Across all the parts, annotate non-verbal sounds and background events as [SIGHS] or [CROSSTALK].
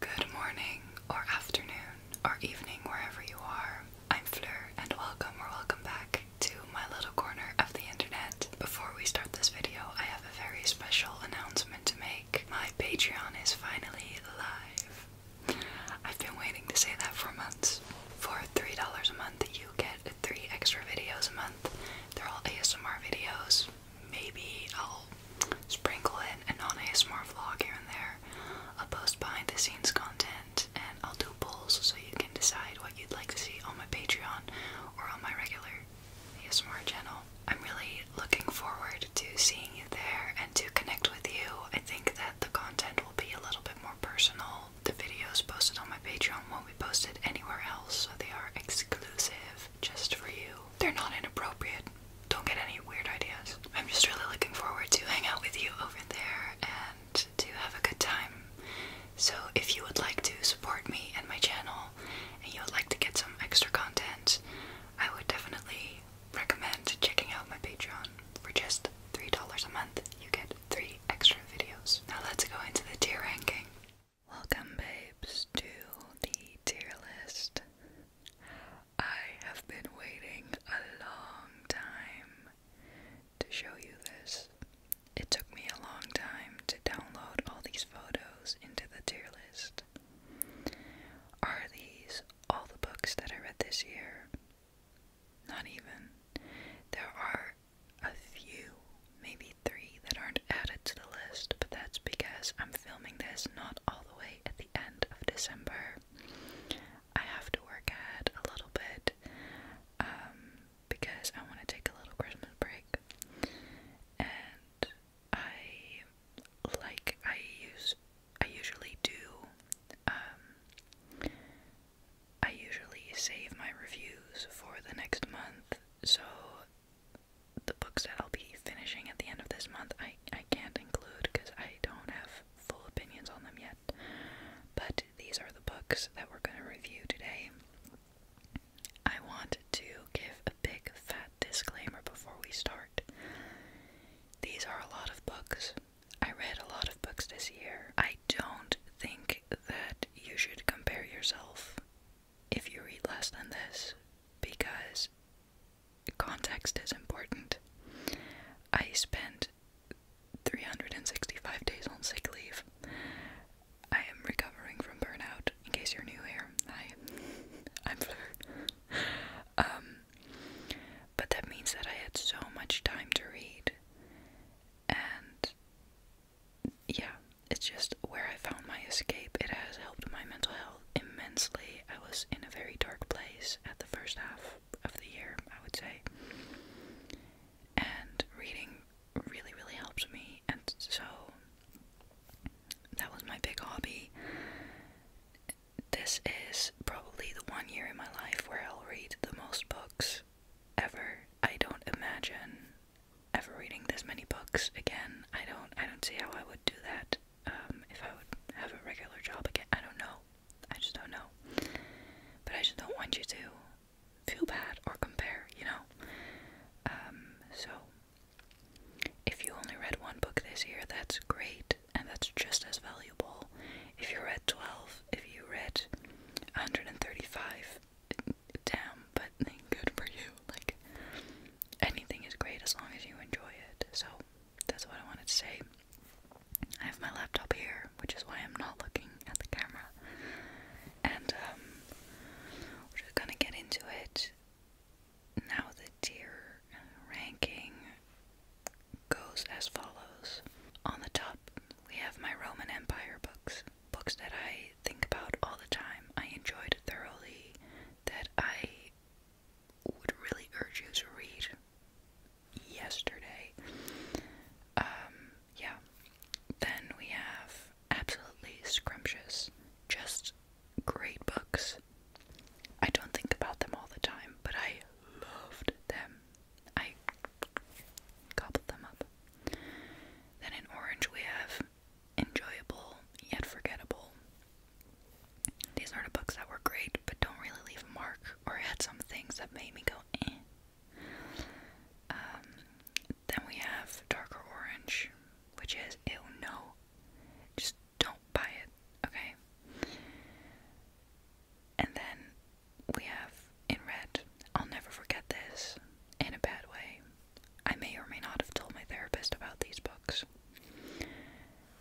Good morning, or afternoon, or evening, wherever you are. I'm Fleur, and welcome or welcome back to my little corner of the internet. Before we start this video, I have a very special announcement to make. My Patreon is finally live. I've been waiting to say that for months. For $3 a month, you get three extra videos a month. They're all ASMR videos maybe I'll sprinkle in a non ASMR vlog here and there. i post behind the scenes content and I'll do polls so you can decide what you'd like to see on my Patreon or on my regular ASMR channel. I'm really looking forward to seeing you there and to connect with you. I think that the content will be a little bit more personal. The videos posted on my Patreon won't be posted anywhere else, so they are exclusive just for you. They're not inappropriate don't get any weird ideas. I'm just really looking forward to hang out with you over there and to have a good time. So if you would like to support me and my channel and you would like to get some extra content, I would definitely recommend checking out my Patreon. For just $3 a month, you get 3 extra videos. Now let's go into the tier ranking. Welcome babes to the tier list. I have been waiting a long time to show you this. It took me a long time to download all these photos into the tier list. Are these all the books that I read this year? Not even. There are a few, maybe three, that aren't added to the list, but that's because I'm filming this not all way at the end of December. I have to work at a little bit um, because I want to take a little Christmas break. And I like I use I usually do um, I usually save my reviews for the next month so the books that I'll be finishing at the end of this month, I, I can't include because I don't have full opinions on them yet. But these are the books that we're going to review today. I want to give a big fat disclaimer before we start. These are a lot of books. I read a lot of books this year. I don't think that you should compare yourself if you read less than this because context is important. I spent 365 days on sick leave. I am recovering from burnout. In case you're new here, hi, [LAUGHS] I'm Fleur. Um, but that means that I had so much time to read, and yeah, it's just where I found my escape. It has helped my mental health immensely. I was in a very dark place at the first half of the year, I would say. And reading really, really helped me, and so that was my big hobby. This is probably the one year in my life where I'll read the most books ever. I don't imagine ever reading this many books again. I don't I don't see how I would do that um, if I would have a regular job again. I don't know. I just don't know. But I just don't want you to feel bad or compare, you know? Um, so, if you only read one book this year, that's great, and that's just as valuable. If you read 12, if you read 135, damn, but good for you. Like, anything is great as long as you enjoy it. So, that's what I wanted to say. I have my laptop here, which is why I'm not looking at the camera. And um, we're gonna get into it. Now the tier ranking goes as follows. On the top, we have my Roman Empire books, books that I think about all the time, I enjoyed thoroughly, that I would really urge you to read yesterday. Um, yeah. Then we have absolutely scrumptious, just great books. I don't think about them all the time, but I loved them. I gobbled them up. Then in orange we have enjoyable yet forgettable. These are the books that were great but don't really leave a mark or had some things that made me go eh. Um, then we have Darker Orange, which is ew no. Just don't buy it, okay? And then we have in red, I'll never forget this in a bad way. I may or may not have told my therapist about these books.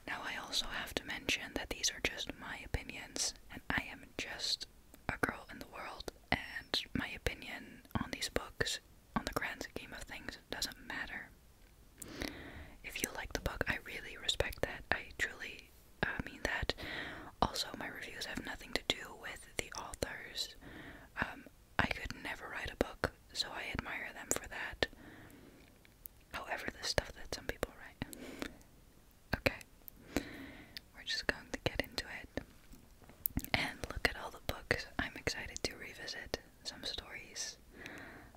Now, I also have to mention that these are just my opinions, and I am just a girl in the world, and my opinion on these books, on the grand scheme of things, doesn't matter. If you like the book, I really respect that. I truly uh, mean that. Also, my reviews have nothing to do with the authors. Um, I could never write a book, so I admire them for that. However, the stuff that some people write. okay. We're just going to get into it and look at all the books. I'm excited to revisit some stories.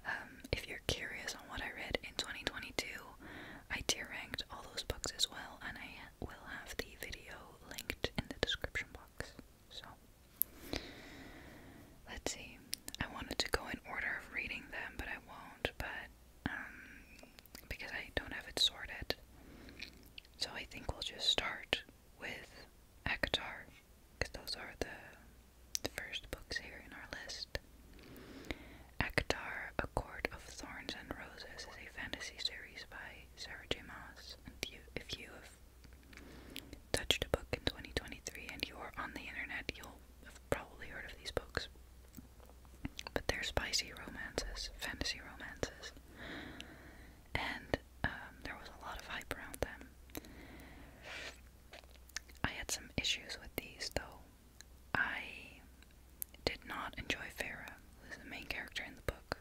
Um, if you're curious on what I read in 2022, I tier ranked all those books as well, and I will have the video linked in the description box. So, let's see. I wanted to go in order of reading them, but I won't, but, um, because I don't have it sorted. So I think we'll just start with Akatar, because those are the, first books here in our list. Akatar, A Court of Thorns and Roses is a fantasy series by Sarah J. Maas, and you, if you have touched a book in 2023 and you are on the internet, you'll have probably heard of these books. But they're spicy romances, fantasy romances. And um, there was a lot of hype around them. I had some issues with these though. I did not enjoy Farah, who is the main character in the book,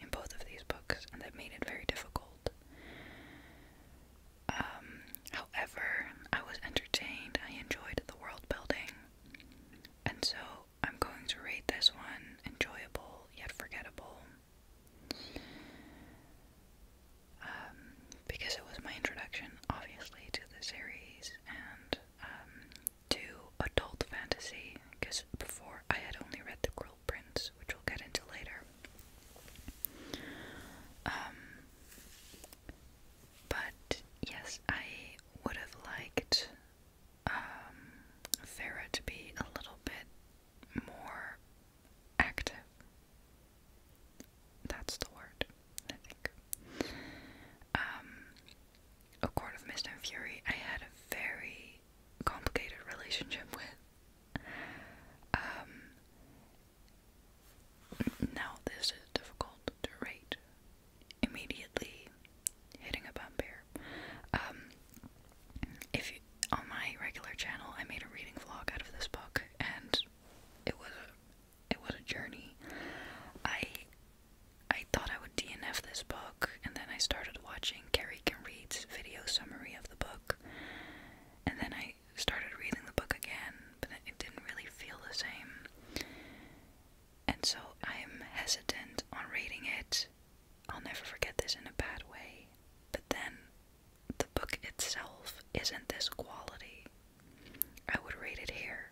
in both of these books, and that made it very difficult. Um, however, I was entertained, I enjoyed the world building, and so I'm going to rate this one enjoyable yet forgettable. Um, because it was my introduction, obviously, to the series and um, to adult fantasy. Because before I had only read The Cruel Prince, which we'll get into later. Um, but yes, I would have liked um, to be a little bit more active. That's the word, I think. Um, a Court of Mist and Fury, I had a very complicated relationship with. Um, now, this is difficult to rate immediately hitting a bump here. Um, if on my regular channel, I made a reading vlog out of this book, and it was a, it was a journey. I I thought I would DNF this book, and then I started watching Carrie Can Read's video summary of the book, and then I started reading the book again, but it didn't really feel the same. And so I'm hesitant on reading it. I'll never forget this in a bad way. But then the book itself isn't this quality. I would rate it here.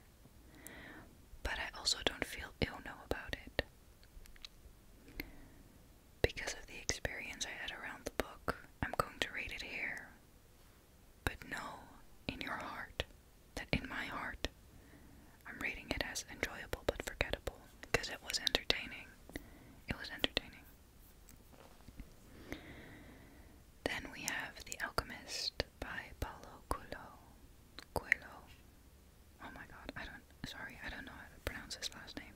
But I also don't feel ill know about it. Because of the experience I had around the book, I'm going to read it here. But know in your heart that in my heart, I'm reading it as enjoyable but forgettable because it was entertaining. It was entertaining. Then we have The Alchemist by Paulo Coelho. Coelho. Oh my god, I don't sorry, I don't know how to pronounce his last name.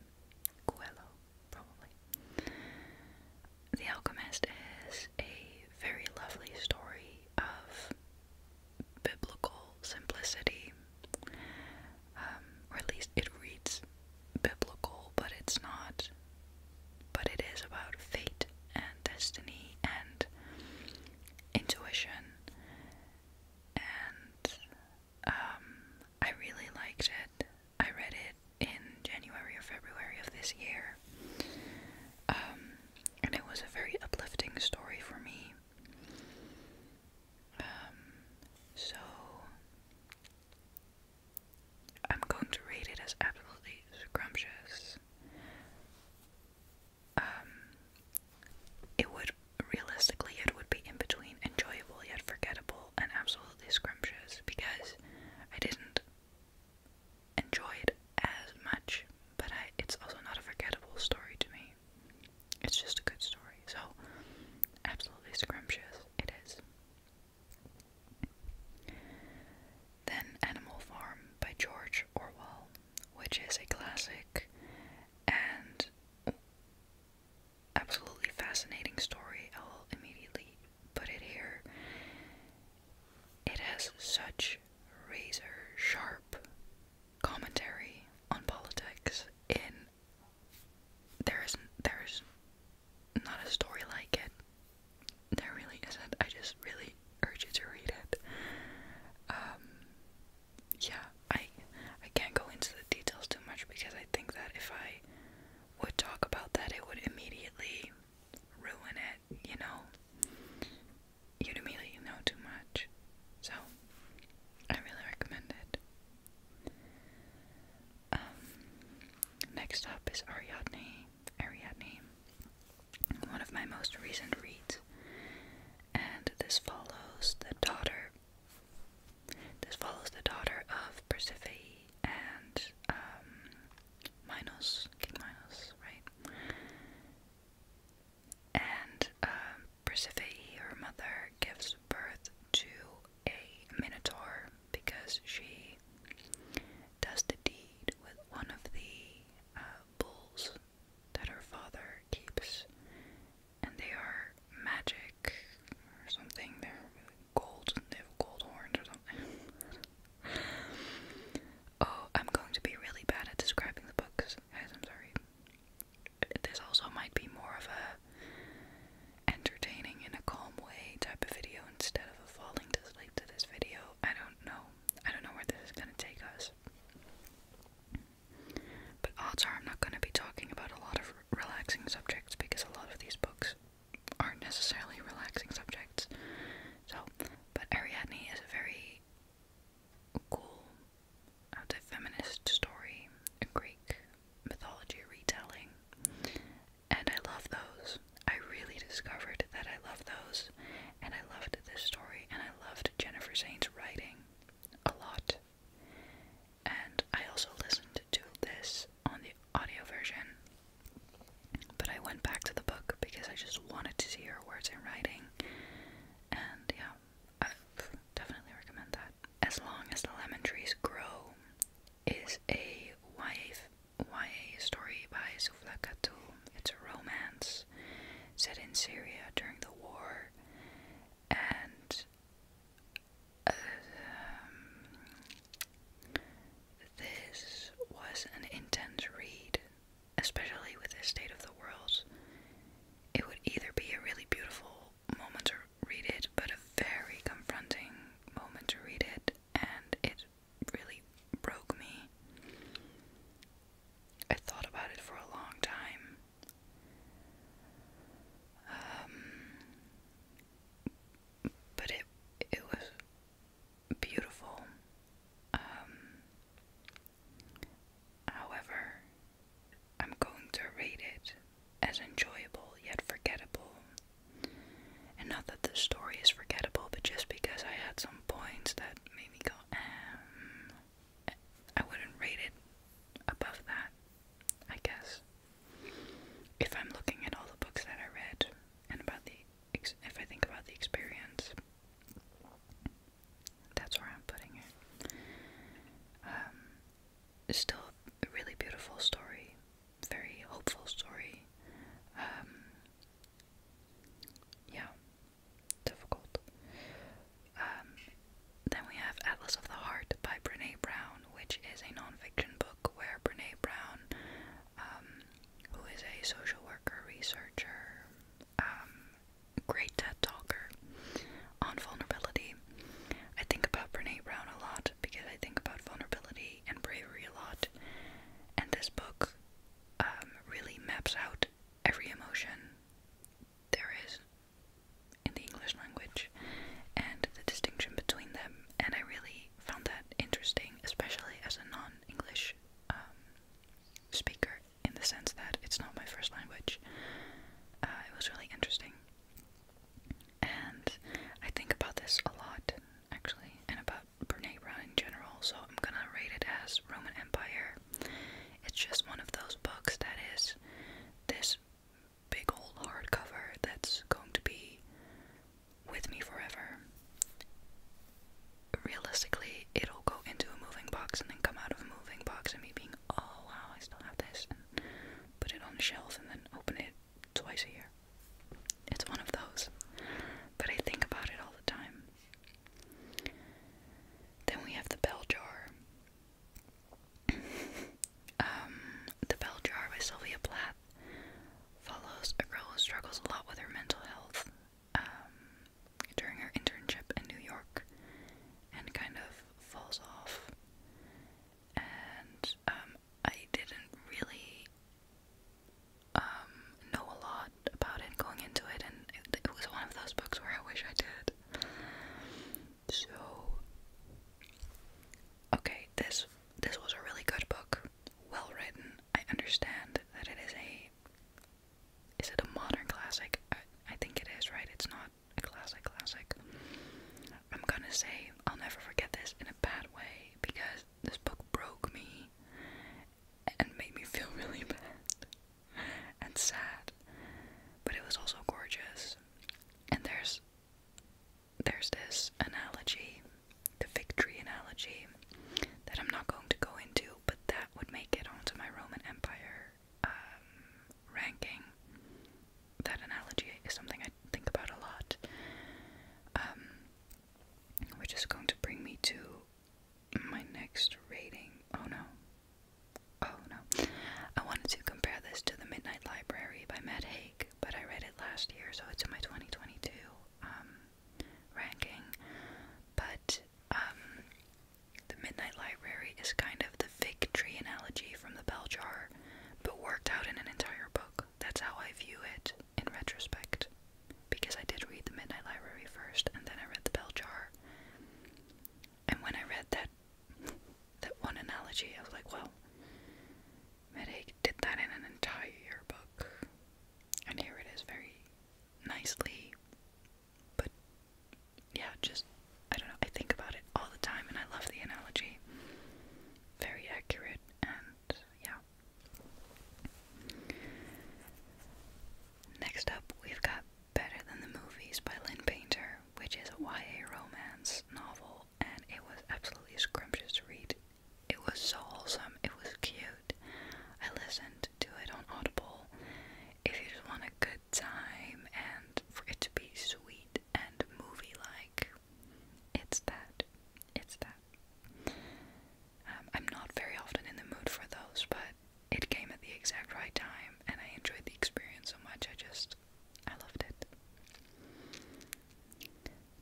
Coelho probably. The Alchemist is a very lovely story of biblical simplicity, um, or at least it reads biblical, but it's not. But it is about fate and destiny and intuition, and um, I really liked it. I read it in January or February of this year. Um, and it was a very uplifting story for me. Um, so I'm going to rate it as absolutely scrumptious. Um, it would realistically, it would be in between enjoyable yet forgettable and absolutely scrumptious because I didn't enjoy it as much, but it's also not a forgettable story to me. It's just a good story, so absolutely scrumptious it is. Then Animal Farm by George Orwell, which is a classic and absolutely fascinating story. I'll immediately put it here. It has such razor sharp commentary on politics in there isn't there's not a story like it. There really isn't. I just really urge you to read it. Um yeah, I I can't go into the details too much because I think that if I would talk about that, it would immediately ruin it, you know? You'd immediately know too much. So, I really recommend it. Um, next up is Ariadne. Ariadne, one of my most recent reads, and this follows the daughter this follows the daughter of Persephone and um, Minos, King Minos, right? And um, Persephone, her mother, gives birth to a Minotaur because she does the deed with one of the uh, bulls that her father keeps, and they are magic or something. They're gold, gold horns or something. [LAUGHS] oh, I'm going to be really bad at describing the books, guys. I'm sorry. This also might be more of a entertaining in a calm way type of video instead of a falling to sleep to this video. I don't know. I don't know where this is gonna take us. But odds are I'm not gonna be talking about a lot of relaxing subjects because a lot of these books aren't necessarily relaxing subjects. So, but Ariadne is a very cool, I would feminist story, a Greek mythology retelling, and I love those. I really discovered that I love those, and I loved this story, and I loved Jennifer Zane's writing a lot and I also listened to this on the audio version, but I went back to the book because I just wanted to see her words in writing, and yeah, I definitely recommend that. As Long as the Lemon Trees Grow is a YA, YA story by Soufla It's a romance set in Syria during the war, and um, this was an intense read, especially with this state of the world. It would either be a really beautiful moment to read it, but a very confronting moment to read it, and it really broke me. I thought about it for a long time. Um, but it it was beautiful. Um, however, I'm going to rate it as enjoyable yet forgettable. And not that the story is forgettable, but just because I had some points that made me go, um, I wouldn't rate it above that, I guess if I'm looking at all the books that I read and about the if I think about the experience, that's where I'm putting it. Um, it's still a really beautiful story, very hopeful story. Um, yeah, difficult. Um, then we have Atlas of the Heart by Brene Brown, which is a non book where Brene Brown, um, who is a social worker, researcher, um, great TED talker on vulnerability, I think about Brene Brown a lot because I think about vulnerability and bravery a lot, and this book um, really maps out every emotion there is in the English language and the distinction between them, and I really found that interesting, especially as a non English um, speaker, in the sense that it's not my first language. Uh, it was really interesting. And I think about this a lot, actually, and about Brene Brown in general, so I'm gonna rate it as Roman Empire. It's just one of those books that is this big old hardcover that's going to be with me forever. Realistically, it'll go into a moving box and then come out of a moving box and me being, oh wow, I still have this, and put it on the shelf and then open it twice a year. It's one of those. But I think about it all the time. Then we have the bell jar. [LAUGHS] Um, the Bell Jar by Sylvia Plath follows a girl who struggles a lot with her mental health um, during her internship in New York and kind of falls off. And um, I didn't really know a lot about it going into it, and it, it was one of those books where I wish I did. So okay, this this was a really good book, well written. I understand that it is a is it a modern classic? I, I think it is, right? It's not a classic classic. I'm gonna say I'll never forget this in a bad way because this book broke me and made me feel [LAUGHS] really bad and sad. But it was also gorgeous. And there's there's this analogy, the fig tree analogy, that I'm not going to go into, but that would make it onto my Roman Empire um, ranking. That analogy is something I think about a lot, um, which is going to bring me to my next rating. Oh no. Oh no. I wanted to compare this to The Midnight Library by Matt Haig, but I read it last year, so it's in my 2022 um, ranking. But um, the Midnight Library is kind of the fig tree analogy from the bell jar, but worked out in an entire book. That's how I view it in retrospect, because I did read the Midnight Library first, and then I read the bell jar. And when I read that [LAUGHS] that one analogy, I was like, well, Medic did that in an entire book. And here it is very nicely. But yeah, just I don't know, I think about it all the time and I love the analogy. Very accurate and yeah. Next up we've got Better Than the Movies by Lynn Painter, which is a YA romance novel and it was absolutely scrumptious to read. It was so wholesome, it was cute. I listened to it on Audible. If you just want a good time and for it to be sweet and movie like, it's that. It's that. Um, I'm not very often in the mood for those, but it came at the exact right time and I enjoyed the experience so much. I just I loved it.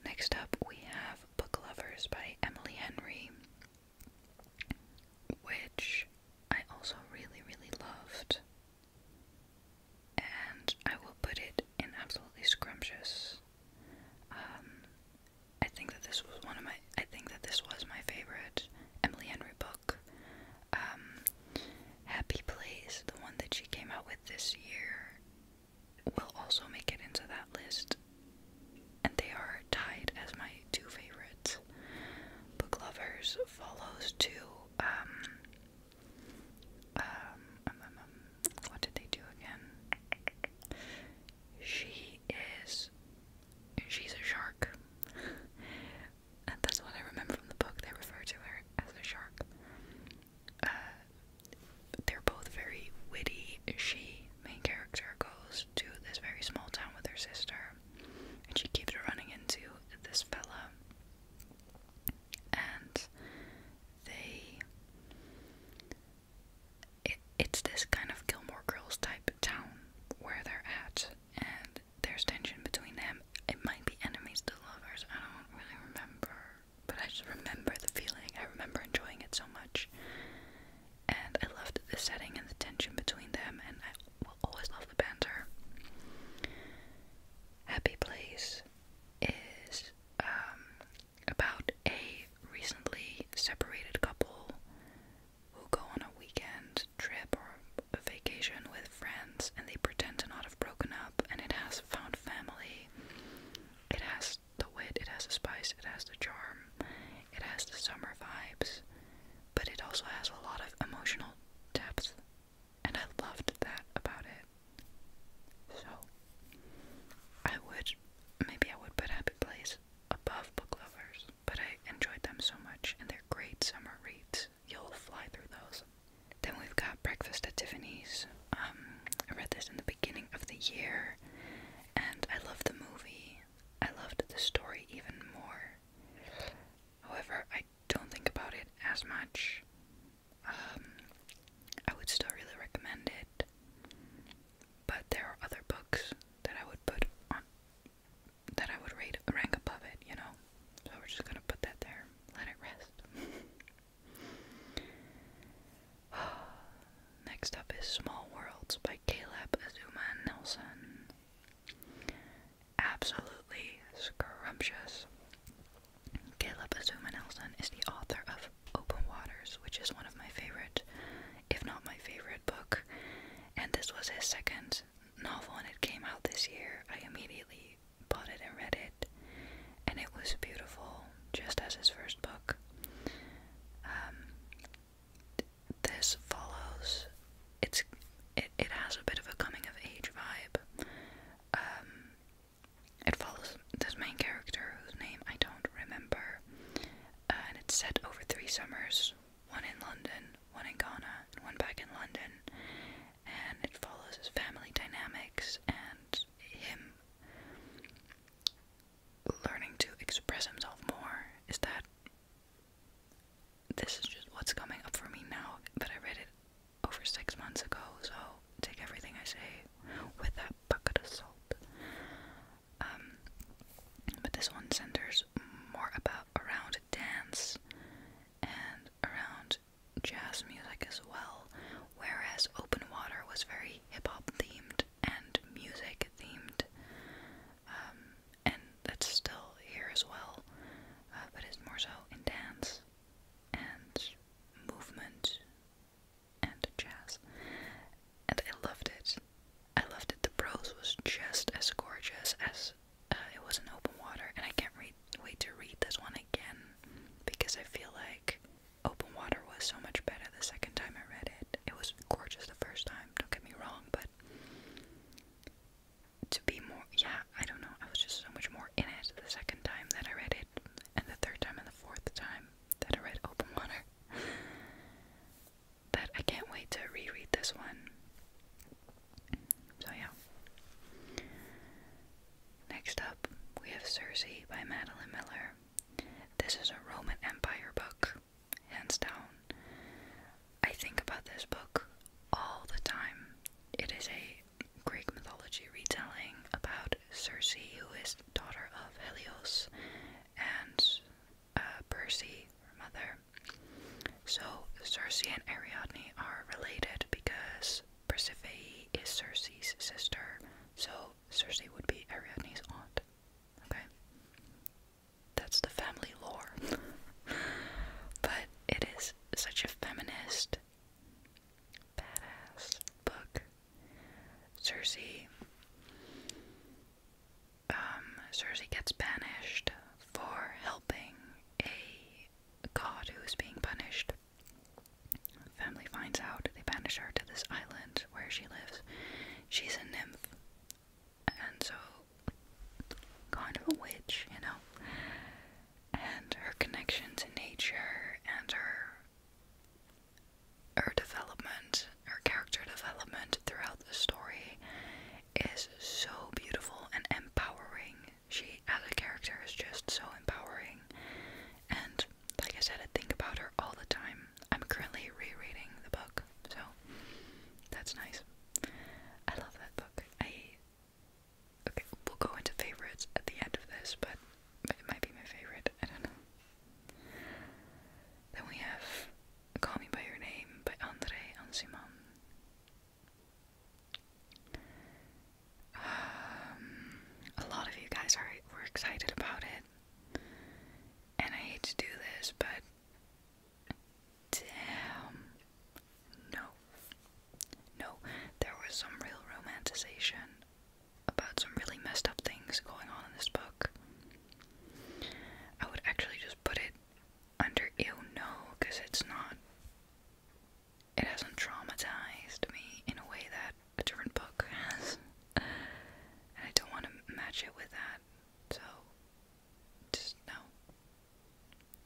Next up, we have Book Lovers by Emily Henry, which I also really, really loved. And I will put it in absolutely scrumptious. Um, I think that this was one of my. I think that this was my favorite Emily Henry book. Um, Happy Place, the one that she came out with this year, will also make it into that list. And they are tied as my two favorites. Book Lovers follows to um um, um, um um, what did they do again? She is she's a shark. and that's what I remember from the book. They refer to her as a shark. Uh, they're both very witty. She, main character, goes to this very small town with her sister, and she keeps running into this fella, and they. it's this kind of Gilmore Girls type town where they're at, and there's tension between them. It might be enemies to lovers, I don't really remember. But I just remember the feeling. I remember enjoying it so much. And I loved the setting and the tension between them, and I will always love the banter. Happy Place is um, about a recently separated couple who go on a weekend trip or a vacation with friends and they pretend to not have broken up, and it has found family. It has the wit, it has the spice, it has the charm, it has the summer vibes, but it also has a lot of emotional depth, and I loved that about it. So, I would maybe I would put Happy Place above Book Lovers, but I enjoyed them so much, and they're great summer reads. You'll fly through those. Then we've got Breakfast at Tiffany's. Um, I read this in the beginning of the year, and I loved the movie. I loved the story even more. However, I don't think about it as much. Um, I would still really recommend it, but there are other books that I would put on that I would rate rank above it, you know. So we're just gonna put that there, let it rest. [LAUGHS] [SIGHS] Next up is Small Worlds by Caleb Azuma Nelson. Absolutely scrumptious. Caleb Azuma Nelson is the author of Open Waters, which is one of my favorite, if not my favorite, book. And this was his second novel, and it came out this year. I immediately bought it and read it, and it was beautiful, just as his first book. Um, this follows. It's it has a bit of a coming of age vibe. Um, it follows this main character whose name I don't remember, uh, and it's set over three summers: one in London, one in Ghana, and one back in London. And it follows his family dynamics and was him learning to express himself more is that this is just what's coming up for me now but I read it over six months ago so take everything I say with that bucket of salt um but this one centers more about around dance and around jazz music as well, whereas Open Water was very hip hop themed and music themed. Um, and that's still here as well, uh, but it's more so in dance and movement and jazz. And I loved it. I loved it. The prose was just as gorgeous as uh, it was in Open Water, and I can't read, wait to read this one again because I feel like Open Water was so much better the second time I read it. It was gorgeous the first time, don't get me wrong, but to be more, yeah, I don't know, I was just so much more in it the second time that I read it, and the third time and the fourth time that I read Open Water. that [LAUGHS] I can't wait to reread this one. So, yeah. Next up, we have Circe by Madeline Miller. This is a Roman Empire book, hands down. I think about this book all the time. It is a Greek mythology retelling about Circe, who is daughter of Helios, and uh, Perse, her mother. So Circe and Ariadne are related because Persephone is Cersei's sister, so Cersei would be Ariadne's aunt. Okay? That's the family lore. [LAUGHS] but it is such a feminist, badass book. Cersei, Um, Circe gets banished for helping a god who is being punished the family finds out, they banish her to this island where she lives. She's a nymph, and so kind of a witch, you know. And her connection to nature and her her development, her character development throughout the story is so beautiful and empowering. She, as a character, is just so empowering and just, like I said, I think about her all the time. I'm currently rereading the book, so that's nice. I love that book. I okay, we'll go into favorites at the end of this, but it might be my favorite. I don't know. Then we have "Call Me by Your Name" by Andre Ansimon. Um, a lot of you guys are were excited about it, and I hate to do this, but damn, no, no, there was some real romanticization about some really messed up things going on in this book. I would actually just put it under ew no, because it's not it hasn't traumatized me in a way that a different book has. And I don't want to match it with that. So, no.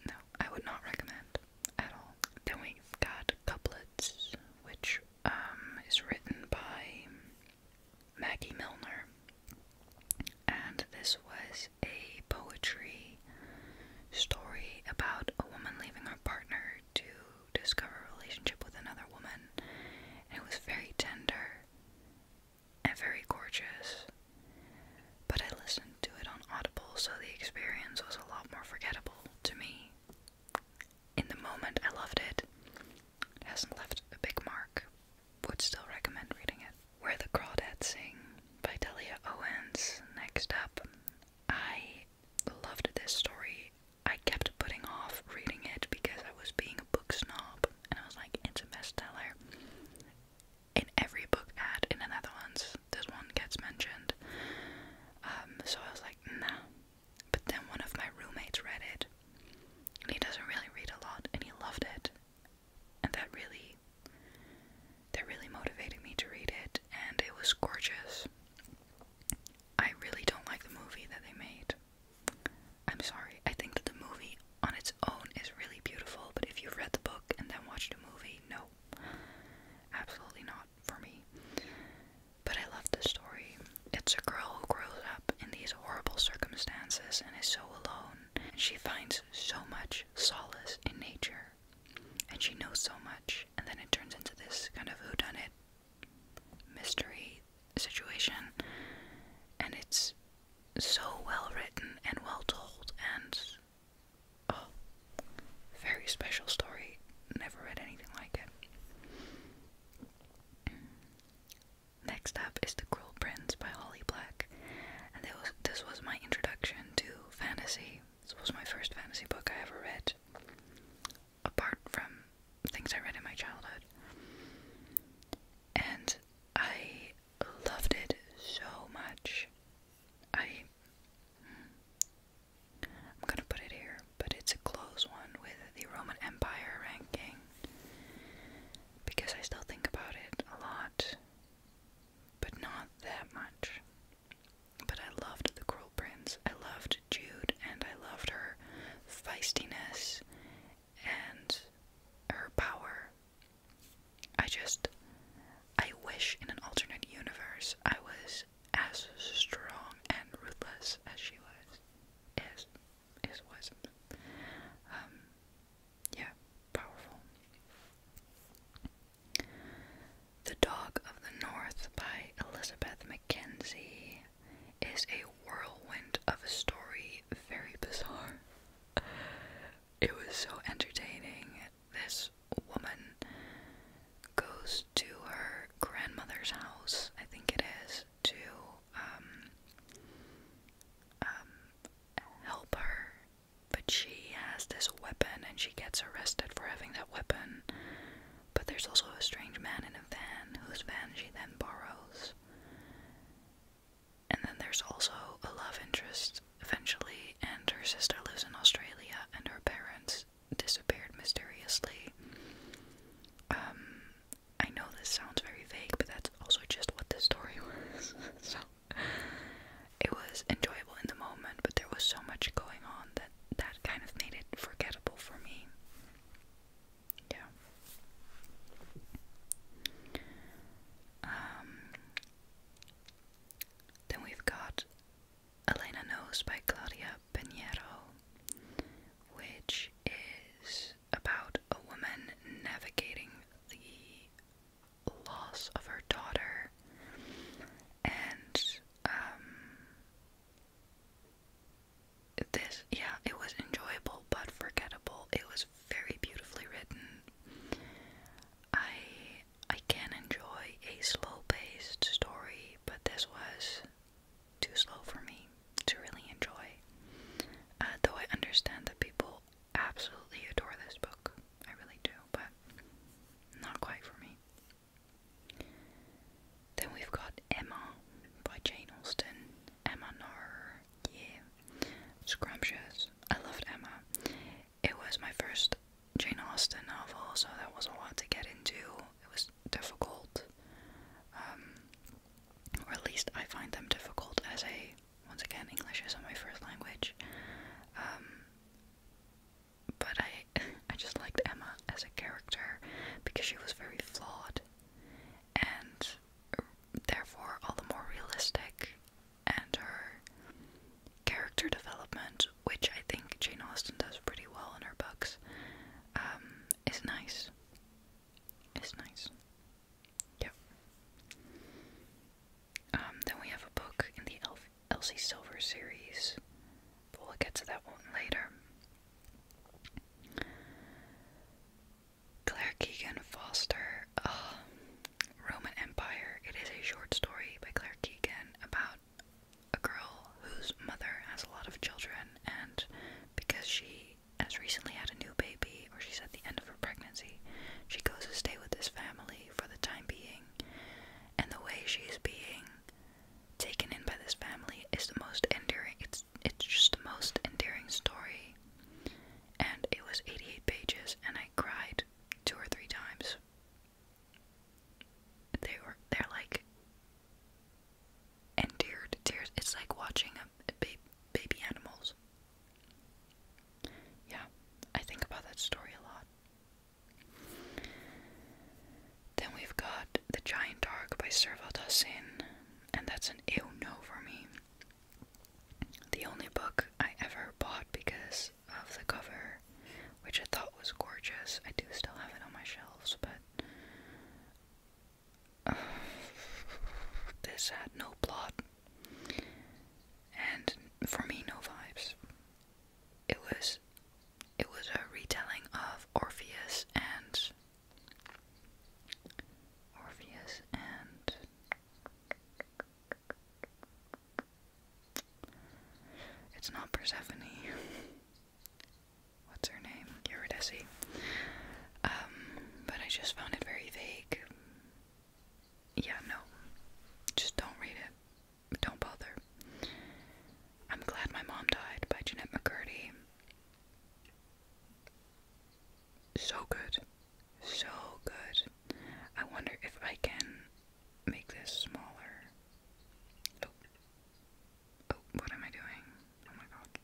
No, I would not recommend at all. Then we got Couplets, which um, is written by Maggie Milner. And this was a poetry story about a woman leaving her partner to discover a relationship with another woman. And it was very tender and very gorgeous. But I listened to it on Audible, so the experience was a lot more forgettable to me. In the moment, I loved it. It hasn't left a big mark. Would still recommend reading it. Where the Crawdads Sing by Delia Owens. Next up, I loved this story. I kept putting off reading it because I was being a book snob and I was like, it's a bestseller. In every book ad in the Netherlands, this one gets mentioned. Um, so I was like, nah. But then one of my roommates read it. And he doesn't really read a lot and he loved it. And that really that really motivated me to read it and it was gorgeous. I really don't like the movie that they made. I'm sorry. I think that the movie on its own is really beautiful, but if you've read the book and then watched the movie, no. Absolutely not for me. But I love the story. It's a girl who grows up in these horrible circumstances and is so alone, and she finds so much solace in nature. And she knows so much, and then it turns into this kind of whodunit mystery situation, and it's so well written and well told, and oh, very special story. Never read anything like it. Next up is The Cruel Prince by Holly Black, and this was my introduction to fantasy. This was my first fantasy book I ever read apart from things I read in my childhood. And I loved it so much. I. I'm gonna put it here, but it's a close one with the Roman Empire ranking because I still think about it a lot, but not that much. But I loved the Cruel Prince. I loved Jude and I loved her feistiness and her power. I just. I wish in an alternate universe I was as strong and ruthless as she was. Is. Is was. Um. Yeah, powerful. The Dog of the North by Elizabeth Mackenzie is a whirlwind of a story, very bizarre. It was so entertaining. This woman goes to her grandmother's house, I think it is, to um, um help her. But she has this weapon and she gets arrested for having that weapon. But there's also a strange man in a van whose van she then borrows. And then there's also a love interest eventually, and her sister lives in Australia, and her parents disappeared mysteriously. Um, I know this sounds very vague, but that's also just what the story [LAUGHS] was. so it was enjoyable in the moment, but there was so much going on that that kind of made it forgettable for me. Yeah. Um, then we've got Elena Knows by Claudia Pinheiro, which is about a woman navigating the loss of her daughter and um, this, yeah, it was enjoyable but forgettable. It was very beautifully written. I I can enjoy a slow-paced story, but this was too slow for me to really enjoy. Uh, though I understand that people absolutely adore this book, I really do, but not quite for me. Then we've got Emma by Jane Austen. Emma Noir, yeah. Scrumptious. I loved Emma. It was my first Jane Austen novel, so there was not a lot to get into. It was difficult. Um, or at least I find them difficult as a once again English isn't my first language. Um, but I [LAUGHS] I just liked Emma as a character because she was very flawed and therefore all the more realistic and her character development, which I think Jane Austen does pretty well in her books, um, is nice. Is nice. Yep. Um, then we have a book in the Elf Elsie Silver series. we'll get to that one later. Claire Keegan Foster, uh, Roman Empire. It is a short story by Claire Keegan about a girl whose mother has a lot of children, and because she has recently had a new baby, or she's at the end of her pregnancy, she goes to stay with this family for the time being. And the way she's being taken in by this family is the most endearing. It's it's just the most endearing story. And it was 88 pages, and I cried two or three times. They were they're like endeared tears. It's like watching a baby baby animals. Yeah, I think about that story a lot. Then we've got The Giant Dark by Servat Hossein, and that's an ill no for me. The only book I ever bought because of the cover, which I thought was gorgeous. I do still have it on my shelves, but [SIGHS] this had no plot and for me, no vibes. It was it was a retelling of Orpheus and Orpheus and It's not Persephone. What's her name? Eurydice. Um, but I just found it very vague. Yeah, no. Just don't read it don't bother. I'm Glad My Mom Died by Jeanette McCurdy. So good. So good. I wonder if I can make this smaller. Oh. Oh, what am I doing? Oh my god.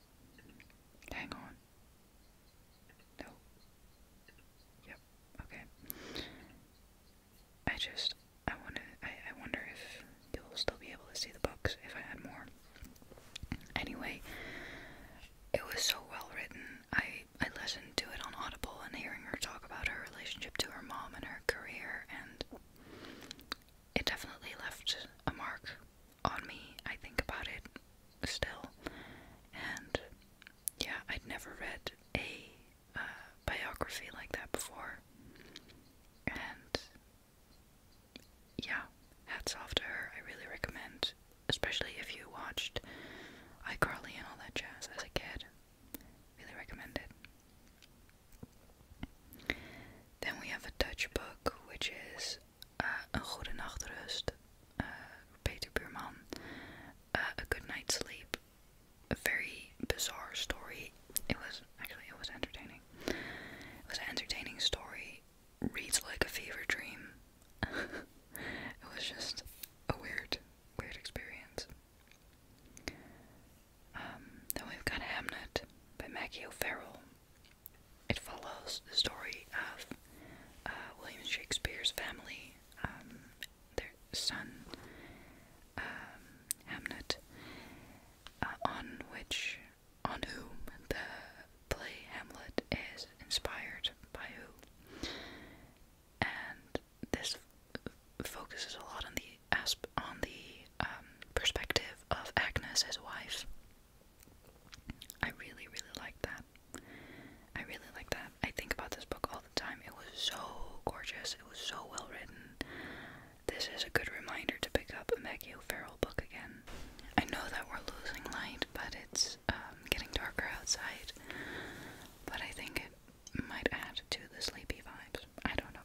Hang on. No. Yep, okay. I just I wanna I, I wonder if you'll still be able to see the books if I had more. Anyway, it was so well written. I I listened to it on Audible and hearing her talk about her relationship to her mom and her career and it definitely left a mark on me. I think about it still. And yeah, I'd never read a biography like that before. And yeah, hats off to her. I really recommend, especially if you watched iCarly and all that jazz as a kid. Really recommend it. Then we have a Dutch book, which is Een uh, Goede Nachtrust, uh, Peter Buurman, uh, A Good Night's Sleep, a very bizarre story. It was actually it was entertaining. It was an entertaining story. Reads like a fever dream. [LAUGHS] it was just a weird, weird experience. Um, then we've got Hamnet by Maggie O'Farrell. It follows the story of uh, William Shakespeare's family, um, their son, um, Hamnet, uh, on which on whom the play Hamlet is inspired by who, and this focuses a lot on the asp on the um, perspective of Agnes, his wife. I really, really like that. I really like that. I think about this book all the time. It was so gorgeous. It was so well written. This is a good reminder to pick up a Maggie O'Farrell book again. I know that we're losing light, but it's um, getting darker outside. But I think it might add to the sleepy vibes. I don't know.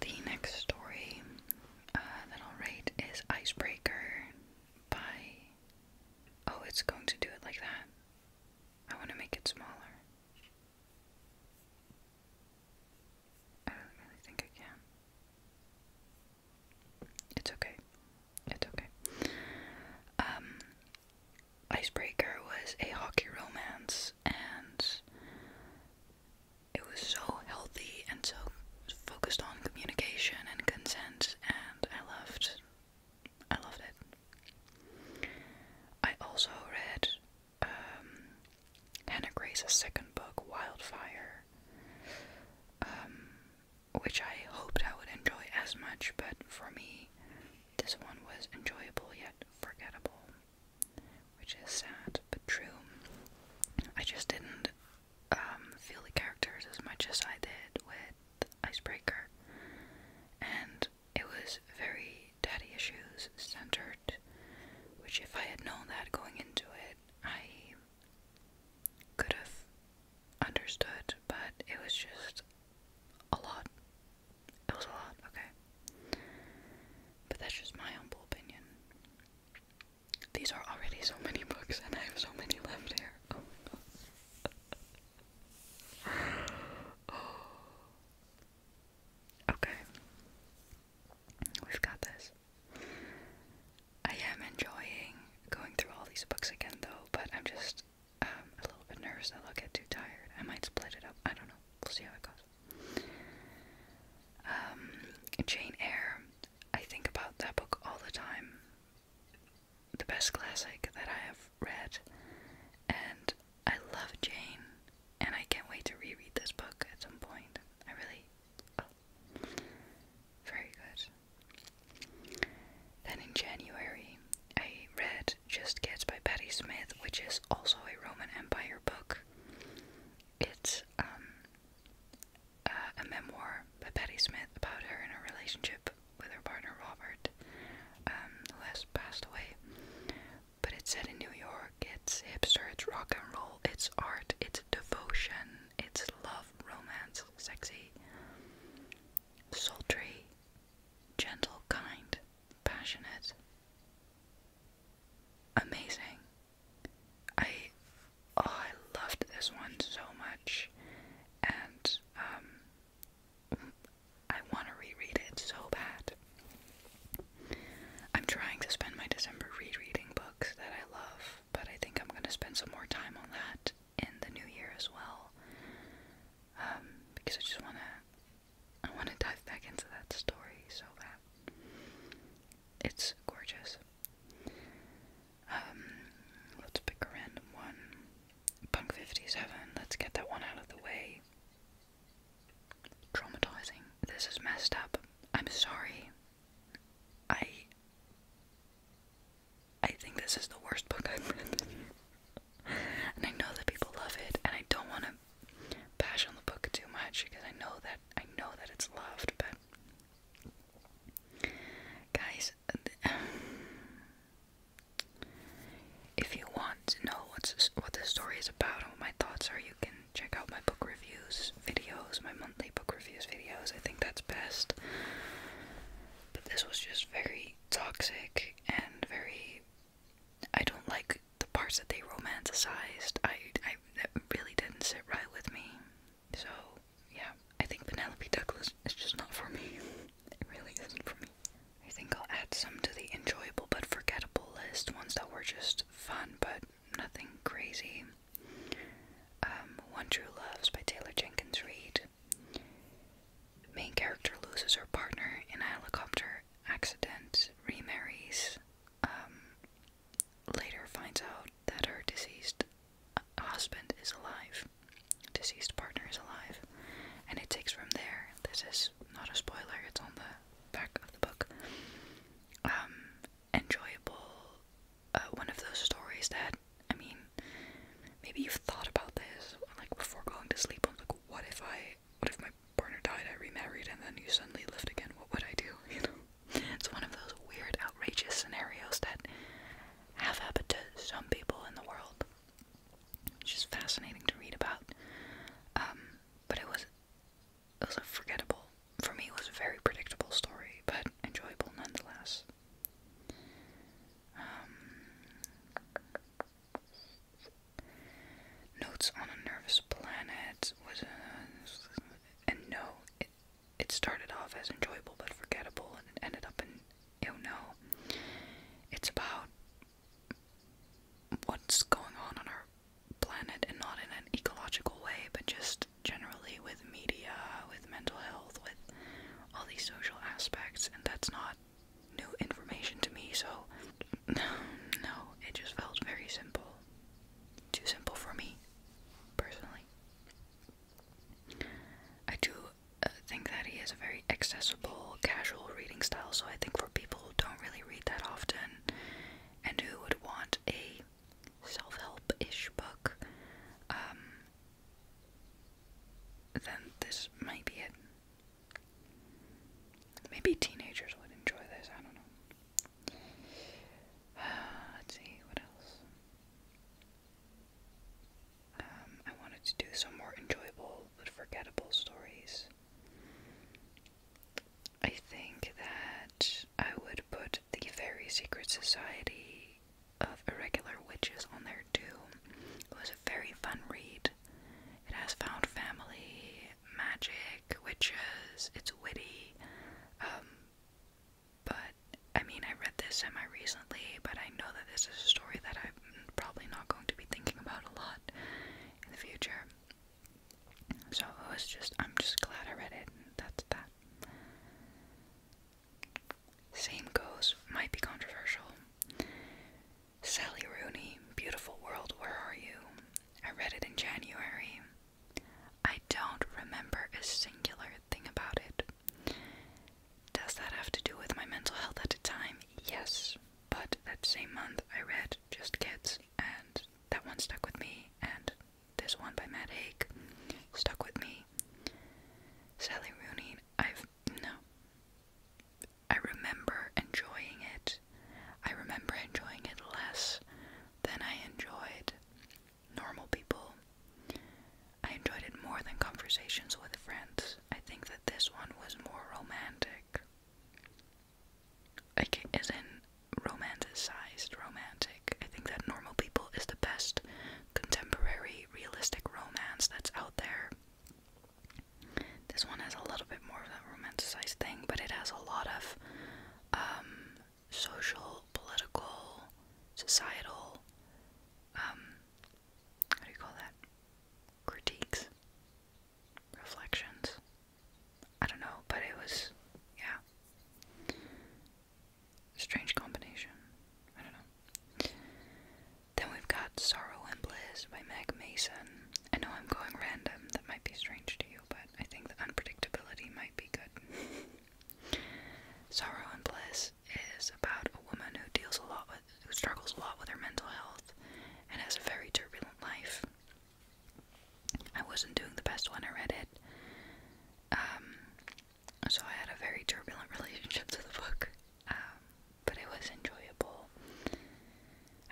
The next story uh, that I'll rate is Icebreaker by. Oh, it's going to do it like that. I want to make it smaller. I don't really think I can. It's okay. It's okay. Um, Icebreaker was a hockey romance, and it was so healthy and so focused on communication and consent, and I loved I loved it. I also read um, Hannah Grace's second book, Wildfire, um, which I hoped I would enjoy as much, but for me, this one was enjoyable yet forgettable, which is sad but true. I just didn't um, feel the characters as much as I did with icebreaker, and it was very daddy issues centered. Which, if I had known that going into it, I could have understood, but it was just a lot. It was a lot, okay. But that's just my humble opinion. These are already so many books, and I have so many left here. Oh my god. [LAUGHS] [SIGHS] okay. We've got this. I am enjoying going through all these books again, though, but I'm just um, a little bit nervous that I'll get too tired. I might split it up. I don't know. We'll see how it goes. Um, Jane Eyre. I think about that book all the time the best classic that I have read, and I love Jane, and I can't wait to reread this book at some point. I really. Oh, very good. Then in January, I read Just Kids by Betty Smith, which is also a Roman Empire book. It's um, a memoir by Betty Smith about her and her relationship with her partner Robert, um, passed away. But it's set in New York, it's hipster, it's rock and roll, it's art, it's devotion, it's love, romance, sexy, sultry, gentle, kind, passionate, amazing. I oh, I loved this one so much, and um, I want to reread it so bad. I'm trying to spend my December rereading books that I love, but I think I'm going to spend some more time on that in the new year as well. Um, because I just want to, I want to dive back into that story so bad. It's gorgeous. Um, let's pick a random one. Punk 57, let's get that one out of the way. Traumatizing. This is messed up. I'm sorry. I. I think this is the worst book I've read. and I know that people love it, and I don't want to bash on the book too much because I know that I know that it's loved, but guys, [SIGHS] [SIGHS] If you want to know what's what the story is about and what my thoughts are, you can check out my book reviews videos, my monthly book reviews videos. I think that's best. But this was just very toxic and very. I don't like the parts that they romanticized. I, I that really didn't sit right with me. So yeah, I think Penelope Douglas is just not for me. It really isn't for me. I think I'll add some to the enjoyable but forgettable list, ones that were just fun but nothing crazy. Um, One True Loves by Taylor Jenkins Reid. Main character loses her partner in a helicopter accident, remarries, um, later finds out that her deceased husband is alive, deceased partner is alive, and it takes from there. This is not a spoiler, it's on the back of the book. Um, enjoyable, uh, one of those stories that, I mean, maybe you've thought about this, like before going to sleep, I'm like, what if I, what if my partner died, I remarried, and then you suddenly lived again, what would I do, [LAUGHS] you know? It's one of those weird, outrageous scenarios that have happened to some people in the world. It's just fascinating to read about. Um, but it was it was a forgettable for me it was a very predictable story, but enjoyable nonetheless. Um, Notes on a Nervous Planet was a, and no, it started off as enjoyable but forgettable and it ended up in you know, it's about what's going on on our planet and not in an ecological way, but just generally with media, with mental health, with all these social aspects, and that's not new information to me, so no, [LAUGHS] no, it just felt very simple. Too simple for me, personally. I do uh, think that he has a very accessible, casual reading style. So I think for people who don't really read that often and who would want a self-help ish book, um, then this might be it. Maybe teenagers would enjoy this. I don't know. [SIGHS] let's see what else. Um, I wanted to do some more enjoyable but forgettable stories. I think that I would put the Very Secret Society of Irregular Witches on there too. It was a very fun read. It has found family, magic, witches, it's witty. Um, but I mean, I read this semi recently, but I know that this is a story that I. I'm probably not going to be thinking about a lot in the future. So it was just, I'm just glad I read it, that's that. Same goes, might be controversial. Sally Rooney, Beautiful World, Where Are You? I read it in January. I don't remember a singular thing about it. Does that have to do with my mental health at the time? Yes, but that same month I read Just Kids, and that one stuck with me, and this one by Matt Haig stuck with me. Sally Rooney, I've no. I remember enjoying it. I remember enjoying it less than I enjoyed normal people. I enjoyed it more than conversations with friends. I think that this one was more romantic. Like, as in romanticized romantic. I think that Normal People is the best contemporary realistic romance that's out there. This one has a little bit more of that romanticized thing, but it has a lot of um, social, political, societal um, how do you call that? Critiques, reflections. I don't know, but it was, yeah. Strange combination. I don't know. Then we've got Sorrow and Bliss by Meg Mason. I know I'm going random, that might be strange to you, but I think the unpredictability might be good. [LAUGHS] Sorrow and Bliss is about a woman who deals a lot with who struggles a lot with her mental health and has a very turbulent life. I wasn't doing the best when I read it. Um, so I had a very turbulent [LAUGHS] relationship to the book. Um, but it was enjoyable.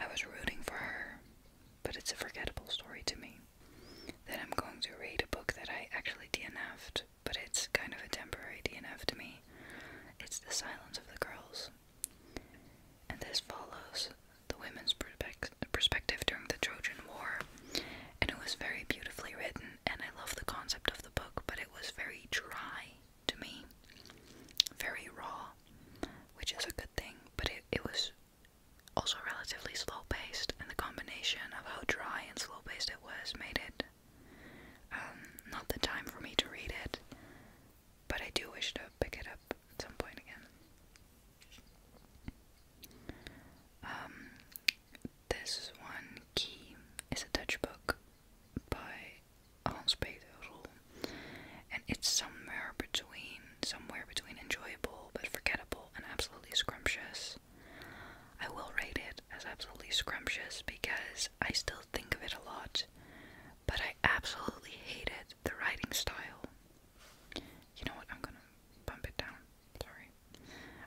I was rooting for her, but it's a forgettable story to me. That I'm going to read a book that I actually DNF'd but it's kind of a temporary DNF to me. It's the silence of the girls. And this follows the women's perspective during the Trojan War, and it was very beautifully written, and I love the concept of the book, but it was very dry to me, very raw, which is a good thing, but it, it was also relatively slow paced, and the combination of how dry and slow paced it was made it um, not the time for me to read it, but I do wish to pick it up at some point again. Um, this one, Key, is a Dutch book by Hans Peter and it's somewhere between somewhere between enjoyable but forgettable and absolutely scrumptious. I will rate it as absolutely scrumptious because I still think of it a lot, but I absolutely hated the writing style. You know what? I'm gonna bump it down. Sorry.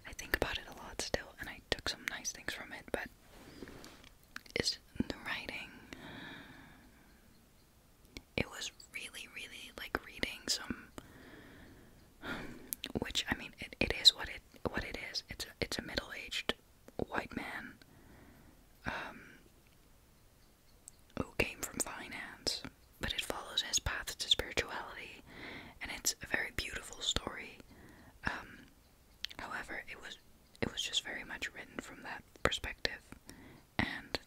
I think about it a lot still, and I took some nice things from it, but it's the writing. It was really, really like reading some. Which I mean, it, it is what it what it is. It's it's a middle aged white man um, who came from finance, but it follows his path to spirituality, and it's a very beautiful story. Um, however, it was it was just very much written from that perspective, and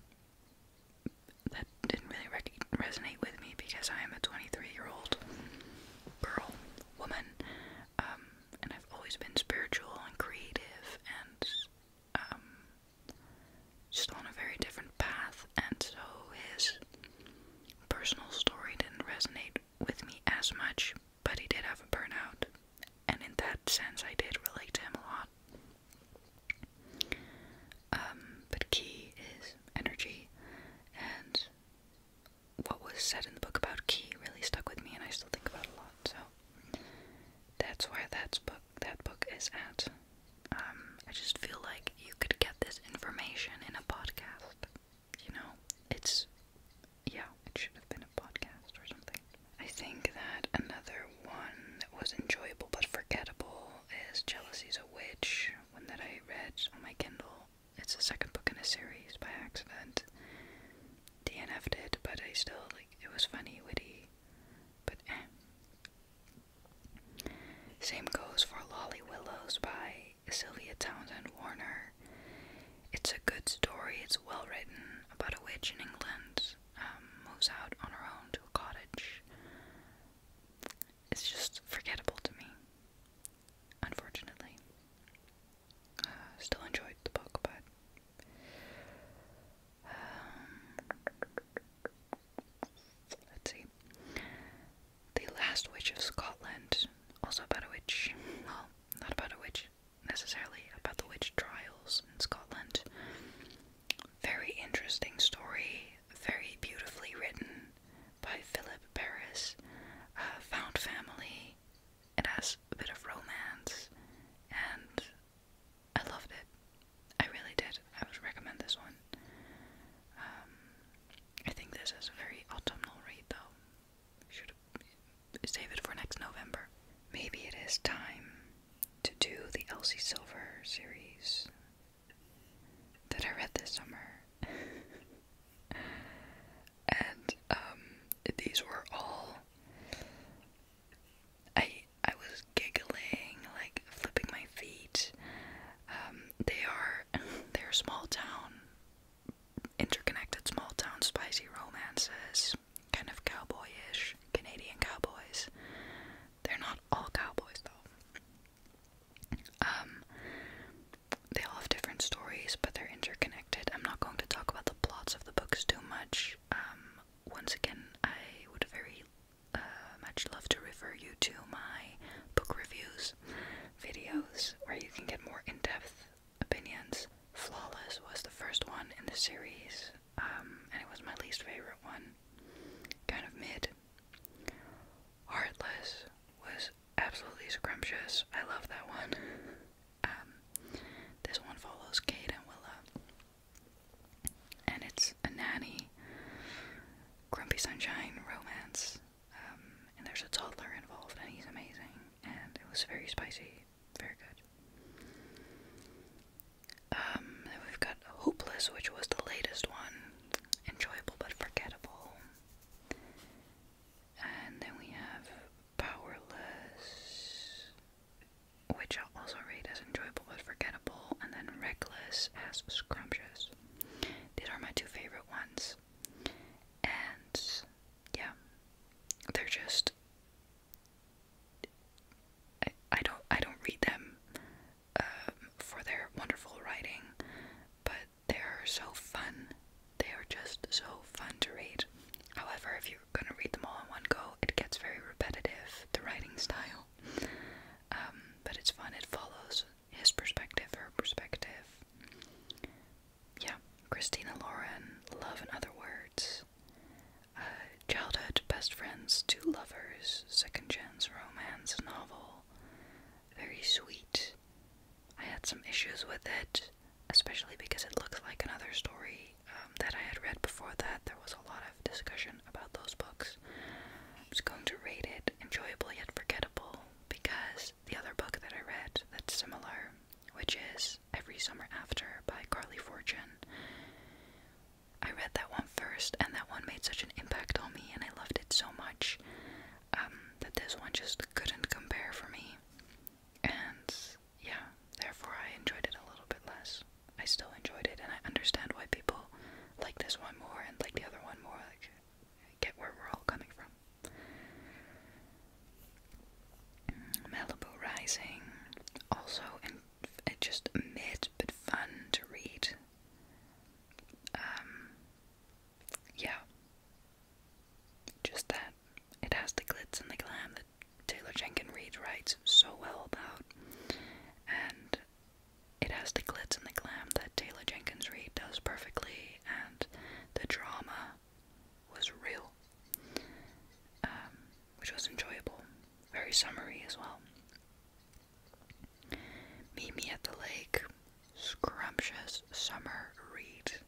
that didn't really resonate with me because I am a 23 year old girl, woman um, and I've always been spiritual and creative and um, just on a very different path, and so his personal story didn't resonate with me as much, but he did have a burnout, and in that sense, I did relate to him a lot. Um, but key is energy, and what was said in the book about Key really stuck with me, and I still think about a lot. So that's where that's book that book is at. Um, I just feel like you could get this information in a podcast. You know, it's yeah, it should have been a podcast or something. I think that another one that was enjoyable but forgettable is Jealousy's a Witch, one that I read on my Kindle it's the second book in a series by accident. DNF'd it, but I still like it was funny, witty, but eh. Same goes for Lolly Willows by Sylvia Townsend Warner. It's a good story, it's well written about a witch in England, who um, moves out on her own to a cottage. It's just forgettable to me, unfortunately still enjoyed the book, but um, let's see. The Last Witch of Scotland, also about a witch. Well, not about a witch necessarily, about the witch trials in Scotland. Very interesting story, very beautifully written by Philip Paris. Uh, found family, it has a bit of romance, and I loved it. I really did. I would recommend this one. Um, I think this is a very autumnal read, though. Should save it for next November. Maybe it is time to do the Elsie Silver series that I read this summer. [LAUGHS] and um, these were all. I I was giggling, like flipping my feet. Um, they are [LAUGHS] they're small town, interconnected small town spicy romances, kind of cowboyish Canadian cowboys. They're not all cowboys though. Um, they all have different stories, but they're interconnected. I'm not going to talk about the plots of the books too much. Um, once again, I would very uh, much love to refer you to my book reviews videos where you can get more in depth opinions. Flawless was the first one in the series, um, and it was my least favorite one. Kind of mid. Heartless was absolutely scrumptious. I love that one. Um, this one follows Kate and Willa, and it's a nanny, grumpy sunshine romance. Um, and there's a toddler involved, and he's amazing. And it was very spicy, very good. Um, we've got Hopeless, which was the latest one, enjoyable but forgettable. And then we have Powerless, which I'll also rate as enjoyable but forgettable, and then Reckless as scrumptious. These are my two favorite ones. And yeah, they're just I, don't I don't read them um, for their wonderful writing, but they're so fun. They are just so fun to read. However, if you're gonna read them all in one go, it gets very repetitive, the writing style. Um, but it's fun, it follows his perspective, her perspective. Yeah, Christina Lauren, Love in Other Words. Uh, childhood best friends, two lovers, second chance romance novel. Very sweet, I had some issues with it, especially because it looks like another story um, that I had read before that. There was a lot of discussion about those books. I'm just going to rate it enjoyable yet forgettable because the other book that I read that's similar, which is Every Summer After by Carly Fortune. I read that one first, and that one made such an impact on me, and I loved it so much um, that this one just couldn't compare for me. And yeah, therefore I enjoyed it a little bit less. I still enjoyed it, and I understand why people like this one more and like the other one more. Like, get where we're all coming from. Malibu Rising, also and it uh, just mid but fun to read. Um, yeah, just that it has the glitz and the glam that Taylor Jenkins Reid writes so well about, and it has the glitz and the glam that Taylor Jenkins Reid does perfectly, and the drama was real, um, which was enjoyable, very summery as well. Meet Me at the Lake, scrumptious summer read.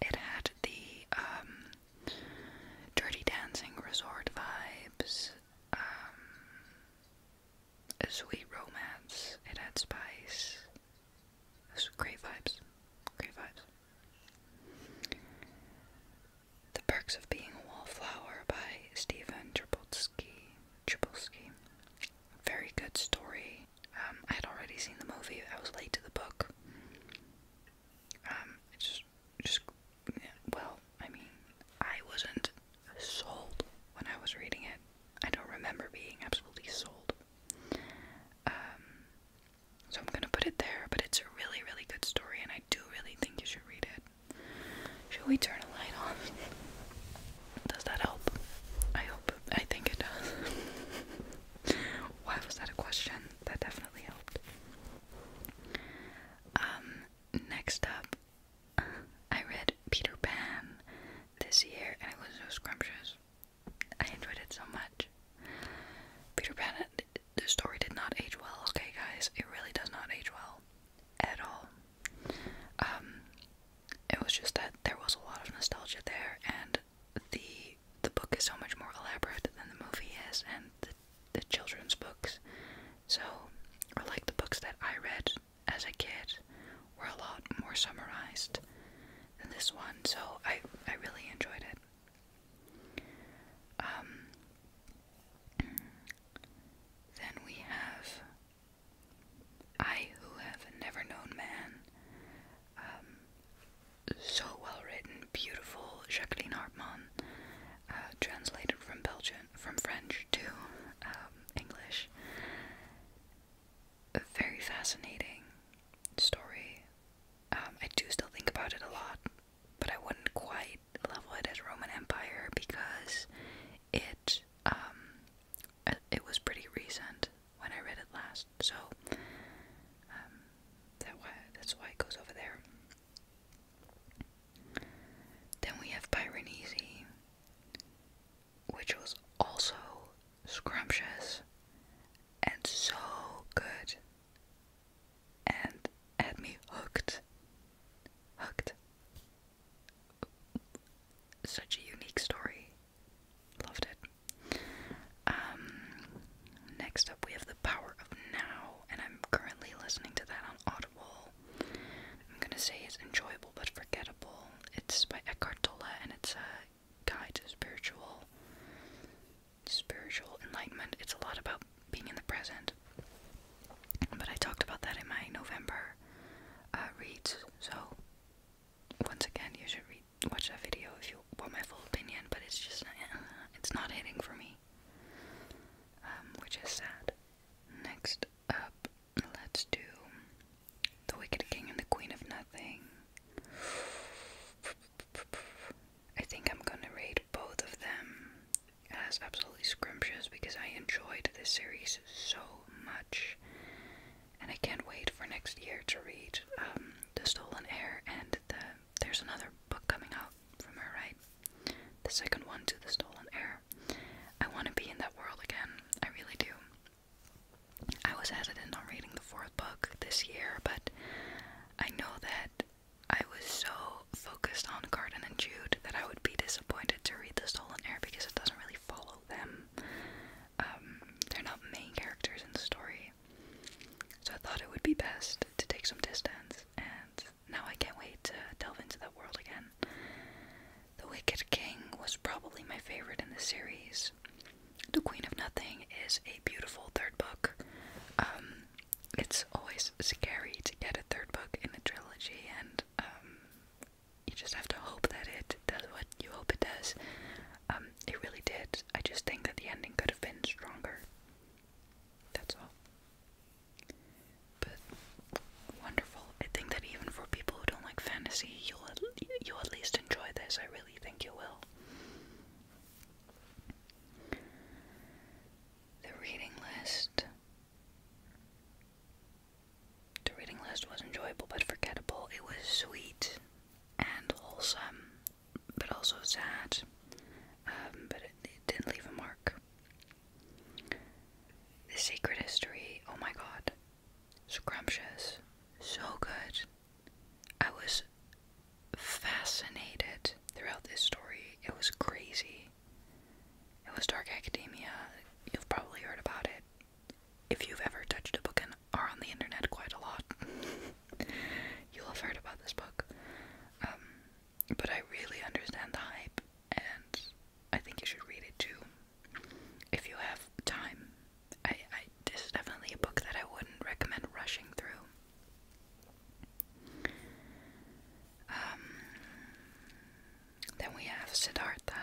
It had the um, Dirty Dancing Resort vibes, um, a sweet romance. It had spice. It great vibes. Great vibes. The Perks of Being a Wallflower by Stephen Tripolsky. Tripolsky. Very good story. Um, I had already seen the movie. I was late to the book. Um, just, just, well, I mean, I wasn't sold when I was reading it. I don't remember being absolutely sold. Um, so I'm gonna put it there, but it's a really, really good story, and I do really think you should read it. Should we turn the light off? [LAUGHS] Does that help? I hope. I think it does. [LAUGHS] Why was that a question? That definitely helped. Um, next up, I read Peter Pan this year and it was so scrumptious. I enjoyed it so much. Peter Pan, the story did not age well, okay, guys? It really does not age well at all. Um, it was just that there was a lot of nostalgia there, and the the book is so much more elaborate than the movie is, and the children's books, so or like the books that I read as a kid, were a lot more summarized than this one. So I I really enjoyed it. Um, then we have I, who have never known man, um, so well written, beautiful, Jacqueline Hartmann, uh, translated from Belgian, from French to um, English. very fascinating story. Um, I do still think about it a lot, but I wouldn't quite level it as Roman Empire because it it was pretty recent when I read it last. So um, why that's why it goes over there. Then we have Piranesi, which was also scrumptious and so good and had me hooked. Hooked. Such a unique story. Loved it. Um, next up, we have The Power of Now, and I'm currently listening to that on Audible. I'm gonna say it's enjoyable but forgettable. It's by Eckhart Tolle, and it's a guide to spiritual, spiritual enlightenment. It's a lot about being in the present. But I talked about that in my November uh, reads, so once again, you should watch that video if you want my full opinion, but it's just uh, it's not hitting for me, um, which is sad. Next up, let's do the Wicked King and the Queen of Nothing. I think I'm gonna rate both of them as absolutely scrumptious because I enjoyed this series so much, and I can't wait for next year to read um, The Stolen Air*. and there's another book coming out from her, right? The second one to The Stolen Air*. I want to be in that world again. I really do. I was hesitant on reading the fourth book this year, but I know that I was so focused on Garden and Jude that I would be disappointed to read The Stolen Air* because it doesn't really follow them. Um, they're not main characters in the story. So I thought it would be best to take some distance, and now I can't wait to delve into that world again. The Wicked King was probably my favorite in the series. The Queen of Nothing is a beautiful third book. Um, it's always scary to get a third book in a trilogy, and um, you just have to hope that it does what you hope it does. Um, it really did. I just think that the ending could have been stronger. That's all. But wonderful. I think that even for people who don't like fantasy, you'll at, you'll at least enjoy this. I really think you will. The reading list. The reading list was enjoyable but forgettable. It was sweet and wholesome, but also sad. Um, but it didn't leave a mark. The Secret History, oh my god. Scrumptious. So good. I was fascinated throughout this story. It was crazy. It was Dark Academia. You've probably heard about it if you've ever touched a book and are on the internet quite a lot, [LAUGHS] you'll have heard about this book. Um, but I really understand the hype, and I think you should read it too if you have time. I, this is definitely a book that I wouldn't recommend rushing through. Um, then we have Siddhartha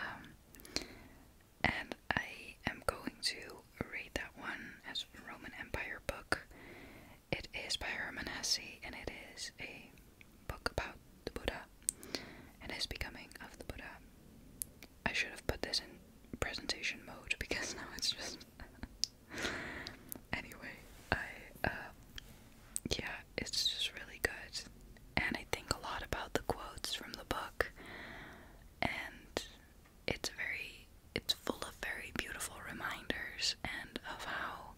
and I am going to read that one as a Roman Empire book. It is by Hermanessi, and it is a book about the Buddha and his becoming of the Buddha. I should have put this in presentation mode because [LAUGHS] now it's just [LAUGHS] anyway, I uh yeah, it's just really good. And I think a lot about the quotes from the book and it's very it's full of very beautiful reminders and of how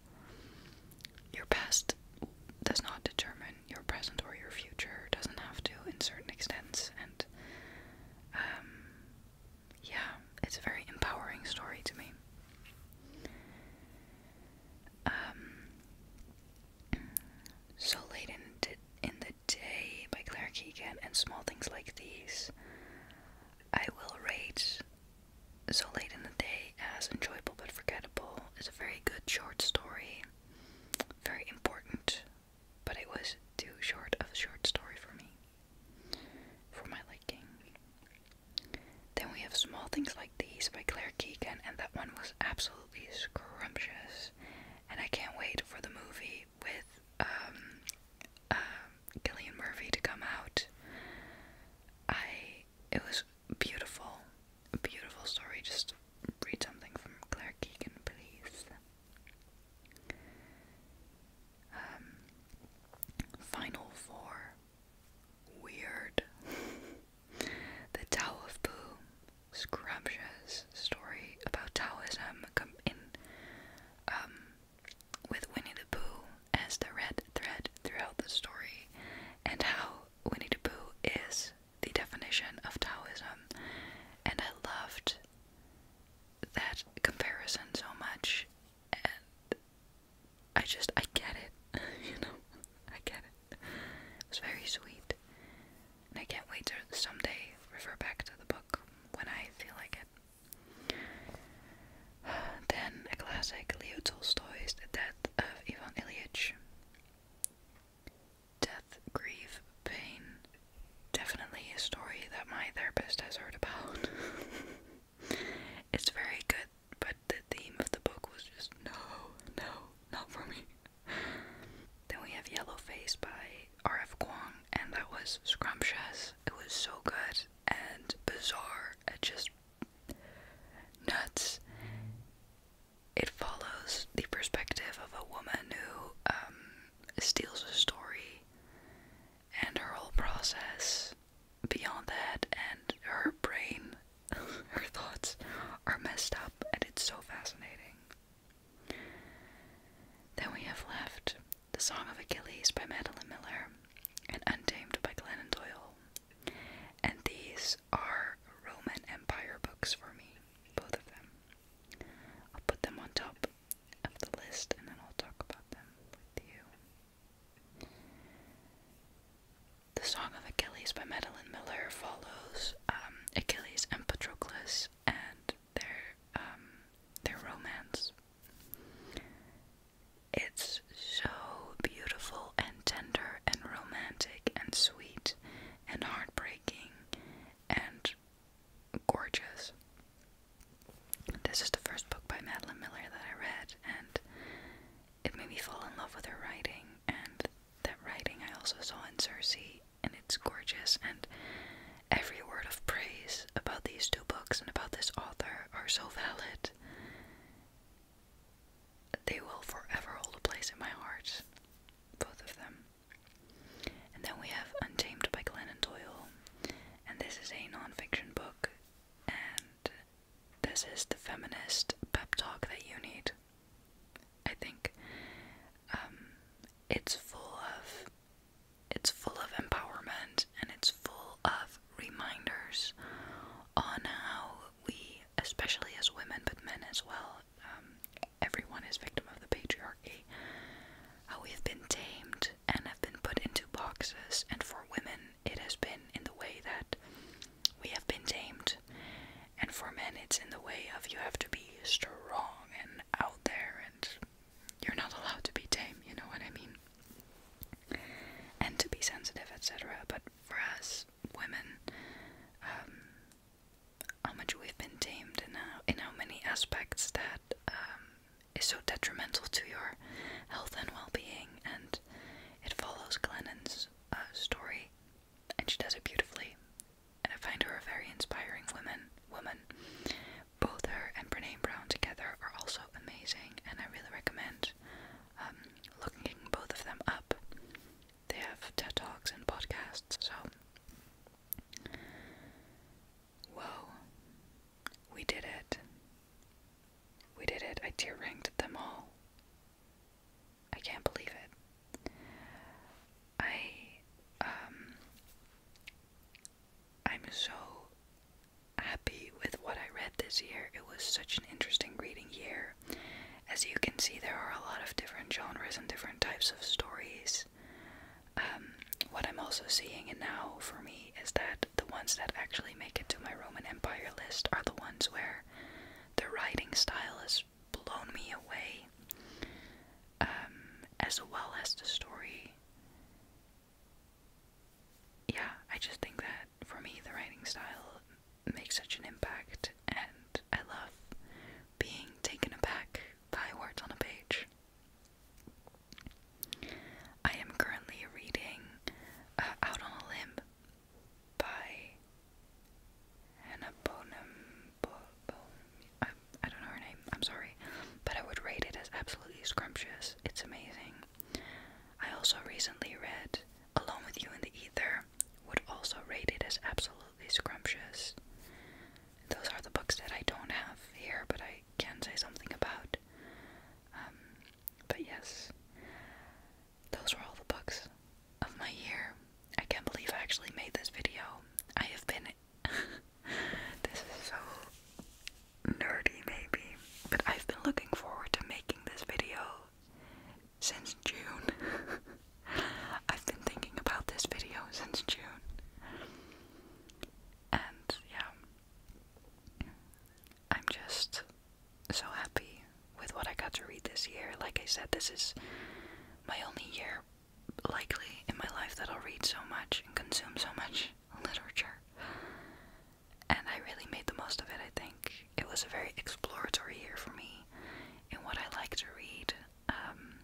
your past does not determine your present or your future doesn't have to in certain extents and um yeah it's a very empowering story to me um, so Late in, the Day by Claire Keegan and Small Things Like These. I will rate So Late in the Day as enjoyable but forgettable. is a very good short story, very important, but it was too short of a short story for me, for my liking. Then we have Small Things Like These by Claire Keegan, and that one was absolutely scrumptious and I can't wait for the movie with Gillian um, um, Murphy to come out. I it was beautiful, a beautiful story. Just read something from Claire Keegan, please. Um, Final Four. Weird. [LAUGHS] the Tao of Pooh scrumptious story about Taoism in um, with Winnie the Pooh as the red thread throughout the story, and how Winnie the Pooh is the definition of Taoism, and I loved that comparison so much, and I just I get it, [LAUGHS] you know, I get it it was very sweet. And I can't wait to someday refer back to the book when I feel like it. [SIGHS] Then a classic, Leo Tolstoy's The Death of Ivan Ilyich. Death, grief, pain. Definitely a story that my therapist has heard about. [LAUGHS] it's very good, but the theme of the book was just no, no, not for me. Then we have Yellow Face by R.F. Kuang, and that was scrumptious. It was so good and bizarre and just nuts. It follows the perspective of a woman who um, steals a story and her whole process beyond that, and her brain, [LAUGHS] her thoughts are messed up, and it's so fascinating. Then we have left The Song of Achilles by Madeline Miller and Untamed by Glennon Doyle. And these are Roman Empire books for me, both of them. I'll put them on top of the list and then I'll talk about them with you. The Song of Achilles by Madeline Miller follows um, Achilles and Patroclus and their um, their romance. It's so beautiful and tender and romantic and sweet and heartbreaking and gorgeous. This is the first book by Madeline Miller that I read, and it made me fall in love with her writing. And that writing I also saw in Cersei, and it's gorgeous and every word of praise about these two books and about this author are so valid. They will forever hold a place in my heart, both of them. And then we have Untamed by Glennon Doyle, and this is a non-fiction book, and this is the feminist pep talk that you need. I think um, it's full of it's full of empowerment and it's full of reminders on how we, especially as women, but men as well, um, everyone is victim of the patriarchy. How we've been tamed and have been put into boxes, and for women, it has been in the way that we have been tamed and for men, it's in the way of you have to be strong and out there, and you're not allowed to be tame, you know what I mean? And to be sensitive, etc. But for us women, um, how much we've been tamed and how, in how many aspects that um, is so detrimental to your health and well being. And it follows Glennon's uh, story, and she does it beautifully and I find her a very inspiring woman. Woman, both her and Brene Brown together are also amazing, and I really recommend um, looking both of them up. They have TED talks and podcasts. So, whoa, we did it. We did it. I tear ranked them all. I can't believe it. I um I'm so happy with what I read this year. It was such an interesting reading year. As you can see, there are a lot of different genres and different types of stories. Um, what I'm also seeing and now for me is that the ones that actually make it to my Roman Empire list are the ones where the writing style is blown me away, um, as well as the story. Yeah, I just think that for me, the writing style makes such an impact, and I love being taken aback by words on a page. I am currently reading uh, Out on a Limb by Hannah I, don't know her name, I'm sorry, but I would rate it as absolutely scrumptious. It's amazing. I also recently read Along with You in the Ether, would also rate it as absolutely scrumptious. Those are the books that I don't have here, but I can say something about. Um, but yes, those were all the books of my year. I can't believe I actually made this video. I have been. [LAUGHS] this is so nerdy, maybe, but I've been looking forward to making this video since June. [LAUGHS] I've been thinking about this video since June. And yeah, I'm just so happy with what I got to read this year. Like I said, this is my only year likely in my life that I'll read so much and consume so much [LAUGHS] literature. And I really made the most of it, I think. It was a very exploratory year for me in what I like to read. Um,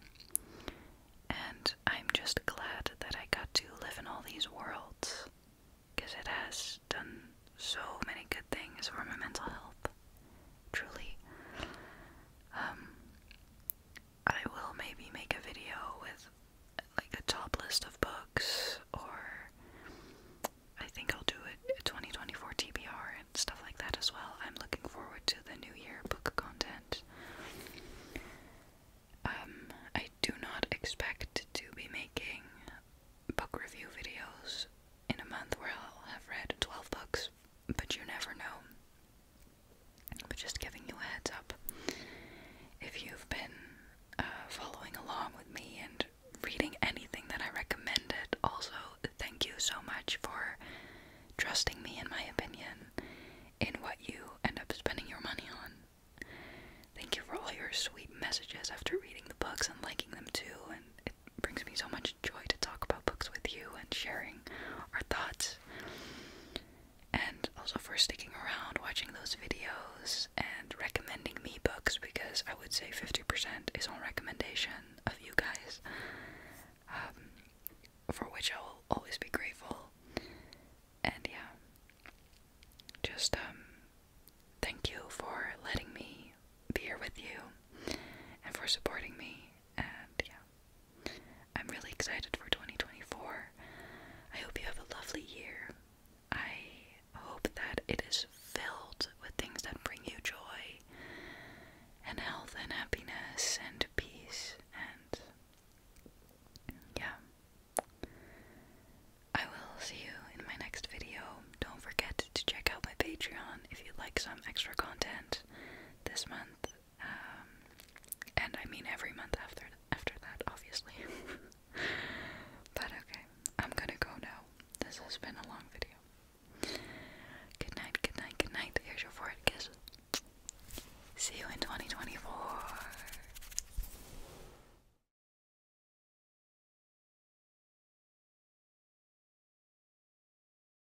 and I'm just glad that I got to live in all these worlds because it has done so many good things for my mental health truly. Um, I will maybe make a video with like a top list of books, or I think I'll do a 2024 TBR and stuff like that as well. I'm looking forward to the new year book content. Um, I do not expect to be making book review videos in a month where I'll have read 12 books but you never know. But just giving you a heads up. If you've been uh, following along with me and reading anything that I recommended, also thank you so much for trusting me in my opinion in what you end up spending your money on. Thank you for all your sweet messages after reading the books and liking them too, and it brings me so much joy to talk about books with you and sharing our thoughts. And also for sticking around, watching those videos, and recommending me books because I would say 50% is on recommendation of you guys, um, for which I will always be grateful. And yeah, just um, thank you for letting me be here with you and for supporting me. And yeah, I'm really excited for 2024. I hope you have a lovely year. I hope that it is filled with things that bring you joy and health and happiness and peace and yeah. I will see you in my next video. Don't forget to check out my Patreon if you would like some extra content this month. Um, and I mean every month after after that, obviously. [LAUGHS] but okay, I'm gonna go now. This has been a long video. Good night, good night, good night. Here's your forehead kiss. See you in 2024.